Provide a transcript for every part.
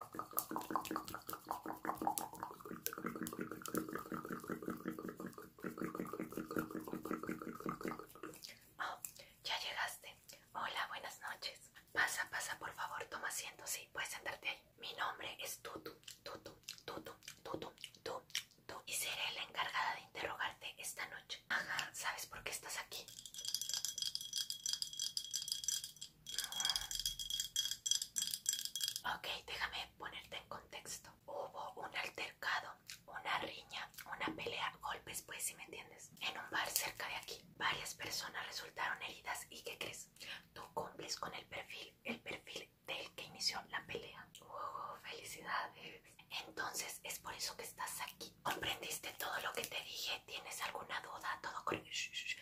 Oh, ya llegaste. Hola, buenas noches. Pasa, pasa, por favor, toma asiento. Sí, puedes sentarte ahí. Mi nombre es Tutu, Tutu, Tutu, Tutu, Tutu, Y seré la encargada de interrogarte esta noche. Ajá, ¿sabes por qué estás aquí? Ok, déjame ponerte en contexto. Hubo un altercado, una riña, una pelea, golpes, pues si me entiendes, en un bar cerca de aquí. Varias personas resultaron heridas y ¿qué crees? Tú cumples con el perfil, el perfil del que inició la pelea. ¡Uh, felicidades! Entonces es por eso que estás aquí. ¿Comprendiste todo lo que te dije? ¿Tienes alguna duda? Todo con...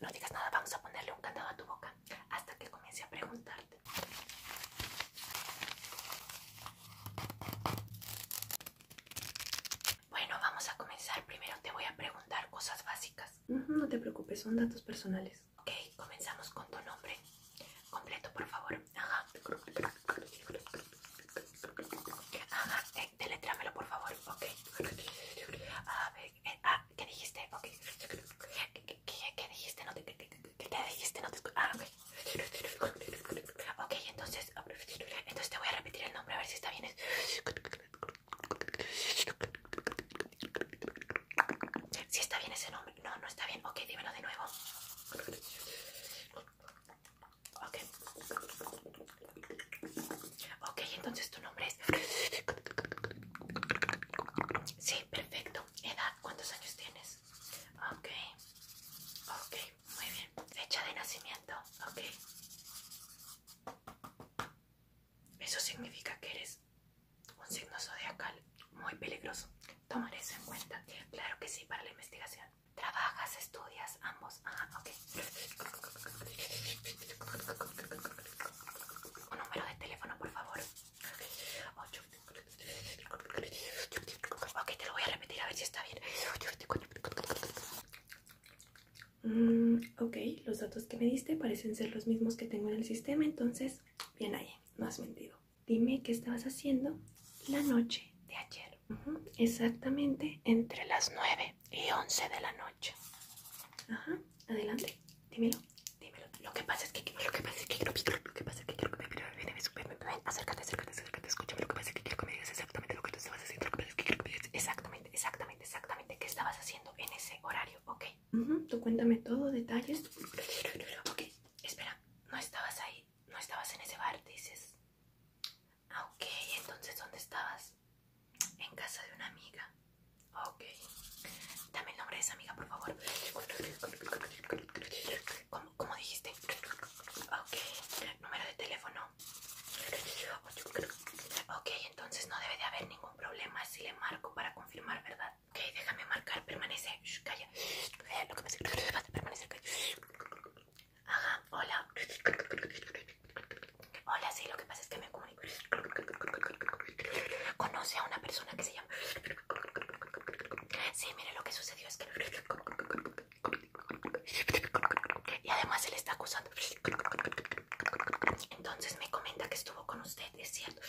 no digas nada, vamos a ponerle un candado a tu boca hasta que comience a preguntarte. Bueno, vamos a comenzar. Primero te voy a preguntar cosas básicas. no te preocupes, son datos personales. Ok, comenzamos con tu nombre. Completo, por favor. Ajá. Eh, por favor. Ok. A, ah, ¿qué dijiste? Ok. ¿Qué, qué, qué dijiste? No te, qué, dijiste? No te Ah, ok. Ok, entonces, entonces te voy a repetir el nombre a ver si está bien. Si está bien ese nombre. No, no está bien. Ok, dímelo de nuevo. Ok. Ok, entonces tu nombre es... Sí, perfecto. ¿Edad? ¿Cuántos años tienes? Ok. Ok, muy bien. Fecha de nacimiento. Ok. Eso significa que eres un signo zodiacal muy peligroso. Tomar eso en cuenta. Claro que sí, para la investigación. ¿Trabajas, estudias, ambos? Ah, ok. Un número de teléfono, por favor. Ok, te lo voy a repetir a ver si está bien. Mm, ok, los datos que me diste parecen ser los mismos que tengo en el sistema, entonces, bien ahí, no has mentido. Dime qué estabas haciendo la noche de ayer. Exactamente entre las 9 y 11 de la noche. Ajá, adelante, dímelo. Dímelo. Lo que pasa es que lo que pasa es que quiero lo que pasa es que me ven, ven, acércate, acércate, acércate, escúchame. Lo que pasa es que quiero que me digas exactamente lo que tú estabas haciendo. Lo que pasa es que quiero que me digas exactamente, exactamente, exactamente qué estabas haciendo en ese horario, ¿ok? Tú cuéntame todo, detalles. Ok, espera, no estabas ahí, no estabas en ese bar, dices. Ah, ok, entonces ¿dónde estabas? En casa de una amiga. Ok. Dame el nombre de esa amiga, por favor. ¿Cómo, dijiste? Ok. Número de teléfono. Ok, entonces no debe de haber ningún problema si le marco para confirmar, ¿verdad? Ok, déjame marcar. Permanece. calla. Eh, lo que me Permanece. hola. Hola, sí, lo que pasa es que me conoce a una persona que se llama... Sí, mire lo que sucedió es que... Y además se le está acusando. Entonces me comenta que estuvo con usted, es cierto.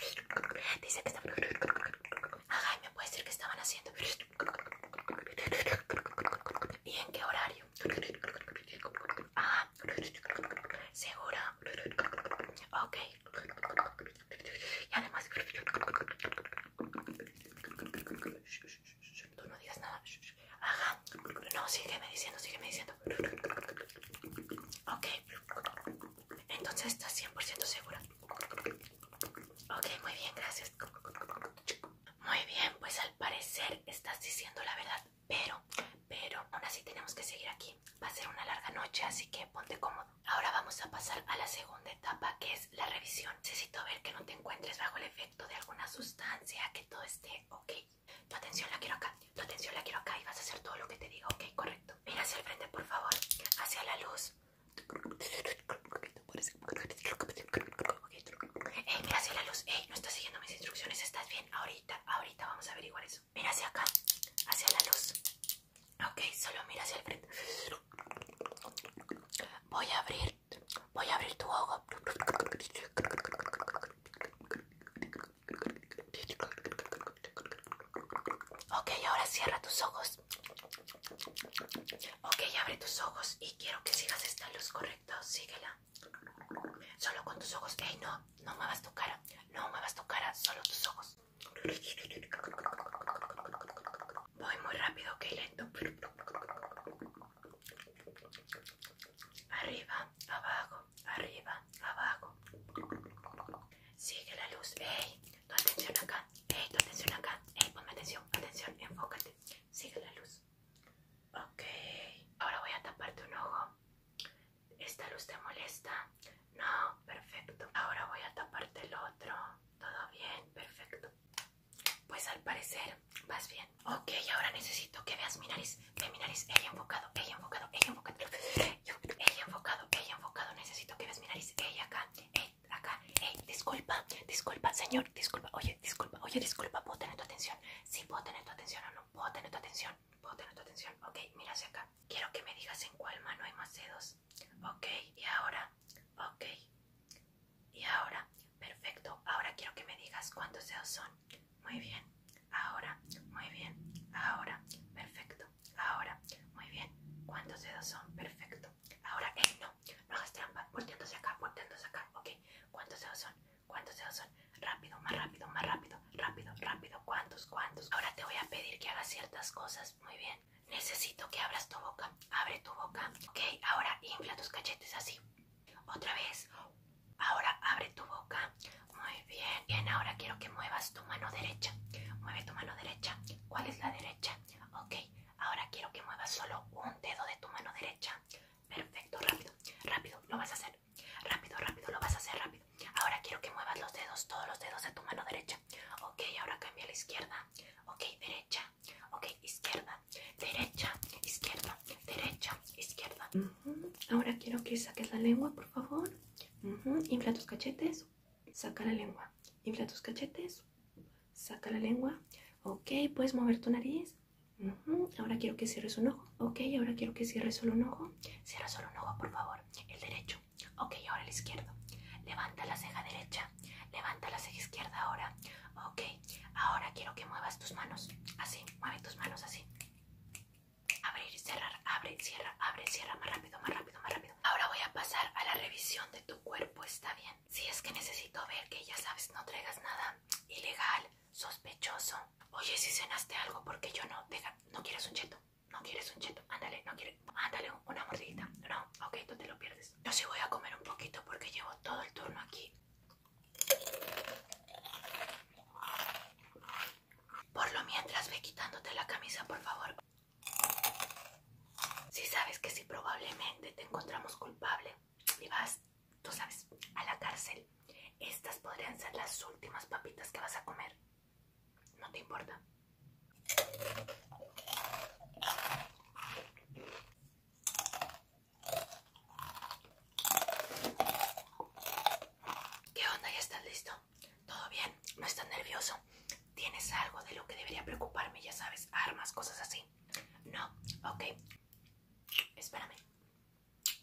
Dice que estaban Ajá, y me puede decir que estaban haciendo... ¿Y en qué horario? Ajá, ah, ¿Segura? ok y además tú no digas nada ajá no sigue me diciendo sigue me diciendo ok entonces estás 100% segura ok muy bien gracias muy bien pues al parecer estás diciendo la verdad pero, pero aún así tenemos que seguir aquí. Va a ser una larga noche, así que ponte cómodo. Ahora vamos a pasar a la segunda etapa, que es la revisión. Necesito ver que no te encuentres bajo el efecto de alguna sustancia, que todo esté ok. Tu atención la quiero acá, tu atención la quiero acá y vas a hacer todo lo que te digo, ok, correcto. Mira hacia el frente, por favor, hacia la luz. Ey, mira hacia la luz. Ey, no estás siguiendo mis instrucciones, estás bien. Ahorita, ahorita vamos a averiguar eso. Mira hacia acá, hacia la luz. Ok, solo mira hacia el frente. Voy a abrir, voy a abrir tu ojo. Ok, ahora cierra tus ojos. Ok, abre tus ojos y quiero que sigas esta luz, correcta Síguela. Solo con tus ojos. Ey, no, no muevas tu cara, no muevas tu cara, solo tus ojos. Voy muy rápido, ok, lento. Arriba, abajo, arriba, abajo. Sigue la luz. Ey, tu atención acá. Ey, tu atención acá. Ey, ponme atención, atención, enfócate. Sigue la luz. Ok, ahora voy a taparte un ojo. ¿Esta luz te molesta? No, perfecto. Ahora voy a taparte el otro. ¿Todo bien? Perfecto. Pues al parecer vas bien. Ok, ahora necesito que veas mi nariz. mi nariz. Ella enfocado, ella enfocado, ella enfocado. Ella enfocado, ella enfocado. Necesito que veas mi nariz. Ella acá, ey, acá. Ey, disculpa, disculpa, señor. Disculpa, oye, disculpa, oye, disculpa. ¿Puedo tener tu atención? Sí, puedo tener tu atención o no. Puedo tener tu atención puedo tener tu atención. Ok, mira hacia acá. Quiero que me digas en cuál mano hay más dedos. Ok, y ahora, ok, y ahora, perfecto. Ahora quiero que me digas cuántos dedos son. Muy bien, ahora, muy bien, ahora, perfecto, ahora, muy bien. ¿Cuántos dedos son? Perfecto. Ahora, eh, no, no hagas trampa, volteándose acá, volteándose acá. Ok, ¿cuántos dedos son? ¿Cuántos dedos son? Rápido, más rápido, más rápido, rápido, rápido. ¿Cuántos, cuántos? Ahora te voy a pedir que hagas ciertas cosas. Muy bien. Necesito que abras tu boca. Abre tu boca. Ok, ahora infla tus cachetes así. Otra vez. Ahora abre tu boca. Muy bien. Bien, ahora quiero que muevas tu mano derecha. Mueve tu mano derecha. ¿Cuál es la derecha? Ok, ahora quiero que muevas solo un dedo de tu mano derecha. Perfecto, rápido, rápido. Lo vas a hacer Rápido, rápido, lo vas a hacer rápido. Ahora quiero que muevas los dedos, todos los dedos de tu mano derecha. Ok, ahora cambia a la izquierda. Ok, derecha. Ok, izquierda. Derecha, izquierda, derecha, izquierda. Ahora quiero que saques la lengua, por favor. Infla tus cachetes. Saca la lengua. Infla tus cachetes. Saca la lengua. Ok, puedes mover tu nariz. Ahora quiero que cierres un ojo. Ok, ahora quiero que cierres solo un ojo. Cierra solo un ojo, por favor el derecho. Ok, ahora el izquierdo. Levanta la ceja derecha. Levanta la ceja izquierda ahora. Ok, ahora quiero que muevas tus manos. Así, mueve tus manos así. Abrir, cerrar, abre, cierra, abre, cierra. Más rápido, más rápido, más rápido. Ahora voy a pasar a la revisión de tu cuerpo. ¿Está bien? Si es que necesito ver que ya sabes, no traigas nada ilegal, sospechoso. Oye, si cenaste algo, porque yo no, no quieres un cheto no quieres un cheto, ándale, no quieres, ándale una mordidita, no, ok, tú te lo pierdes. Yo sí voy a comer un poquito porque llevo todo el turno aquí. Por lo mientras ve quitándote la camisa, por favor. Si sabes que si probablemente te encontramos culpable y vas, tú sabes, a la cárcel, estas podrían ser las últimas papitas que vas a comer. No te importa. ¿Qué onda? ¿Ya estás listo? ¿Todo bien? ¿No estás nervioso? ¿Tienes algo de lo que debería preocuparme? Ya sabes, armas, cosas así. No, ok. Espérame.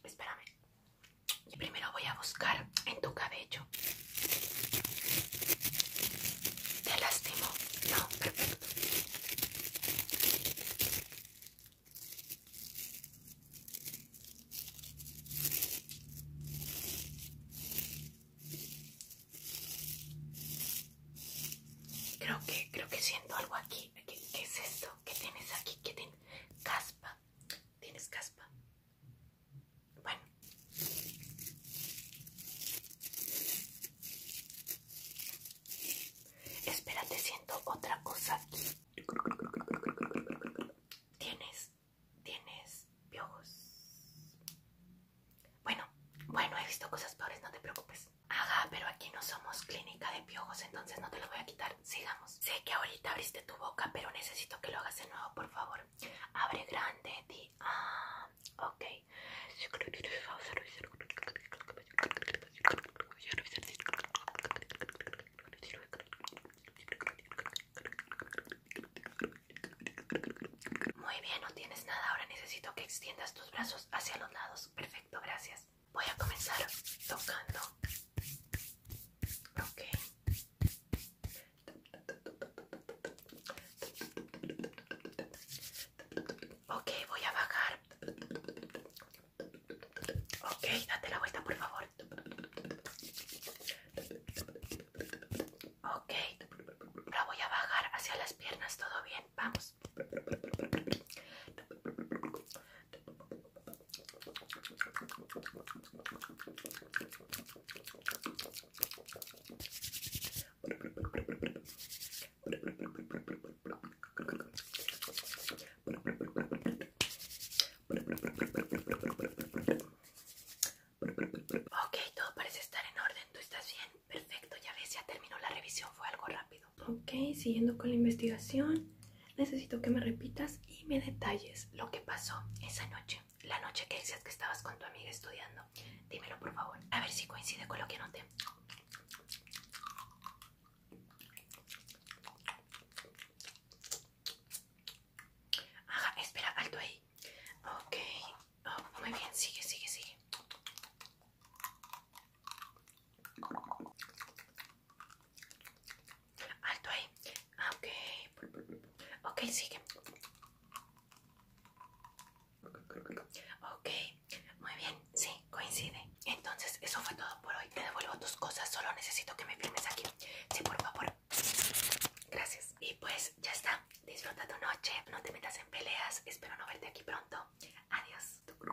Espérame. Y primero voy a buscar en tu cabello. ¿Te lastimó? No, Creo que, creo que siento algo aquí. qué es esto? ¿Qué tienes aquí? ¿Qué tienes? Caspa. ¿Tienes caspa? Bueno. Espérate, siento otra cosa Tienes, tienes piojos. Bueno, bueno, he visto cosas peores, no te preocupes. Ajá, pero aquí no somos clínica de piojos, entonces no te lo voy a quitar sigamos. Sé que ahorita abriste tu boca, pero necesito que lo hagas de nuevo, por favor. Abre grande, ti. Ah, ok. Muy bien, no tienes nada. Ahora necesito que extiendas tus brazos hacia los lados. Perfecto, gracias. Voy a comenzar tocando. Ok. Ok, voy a bajar. Ok, date la vuelta, por favor. Ok, la voy a bajar hacia las piernas, todo bien, vamos. Ok, todo parece estar en orden. ¿Tú estás bien? Perfecto, ya ves, ya terminó la revisión. Fue algo rápido. Ok, siguiendo con la investigación necesito que me repitas y me detalles lo que pasó esa noche. La noche que decías que estabas con tu amiga estudiando. Dímelo, por favor. A ver si coincide con lo que anoté. Ajá, espera, alto ahí. Ok. Oh, muy bien, sigue, sigue, sigue. Alto ahí. Ah, ok. Ok, sigue. Ok, muy bien. Sí, coincide. Entonces, eso fue todo por hoy. Te devuelvo tus cosas. Solo necesito que me firmes aquí. Sí, por favor. Gracias. Y pues ya está. Disfruta tu noche. No te metas en peleas. Espero no verte aquí pronto. Adiós.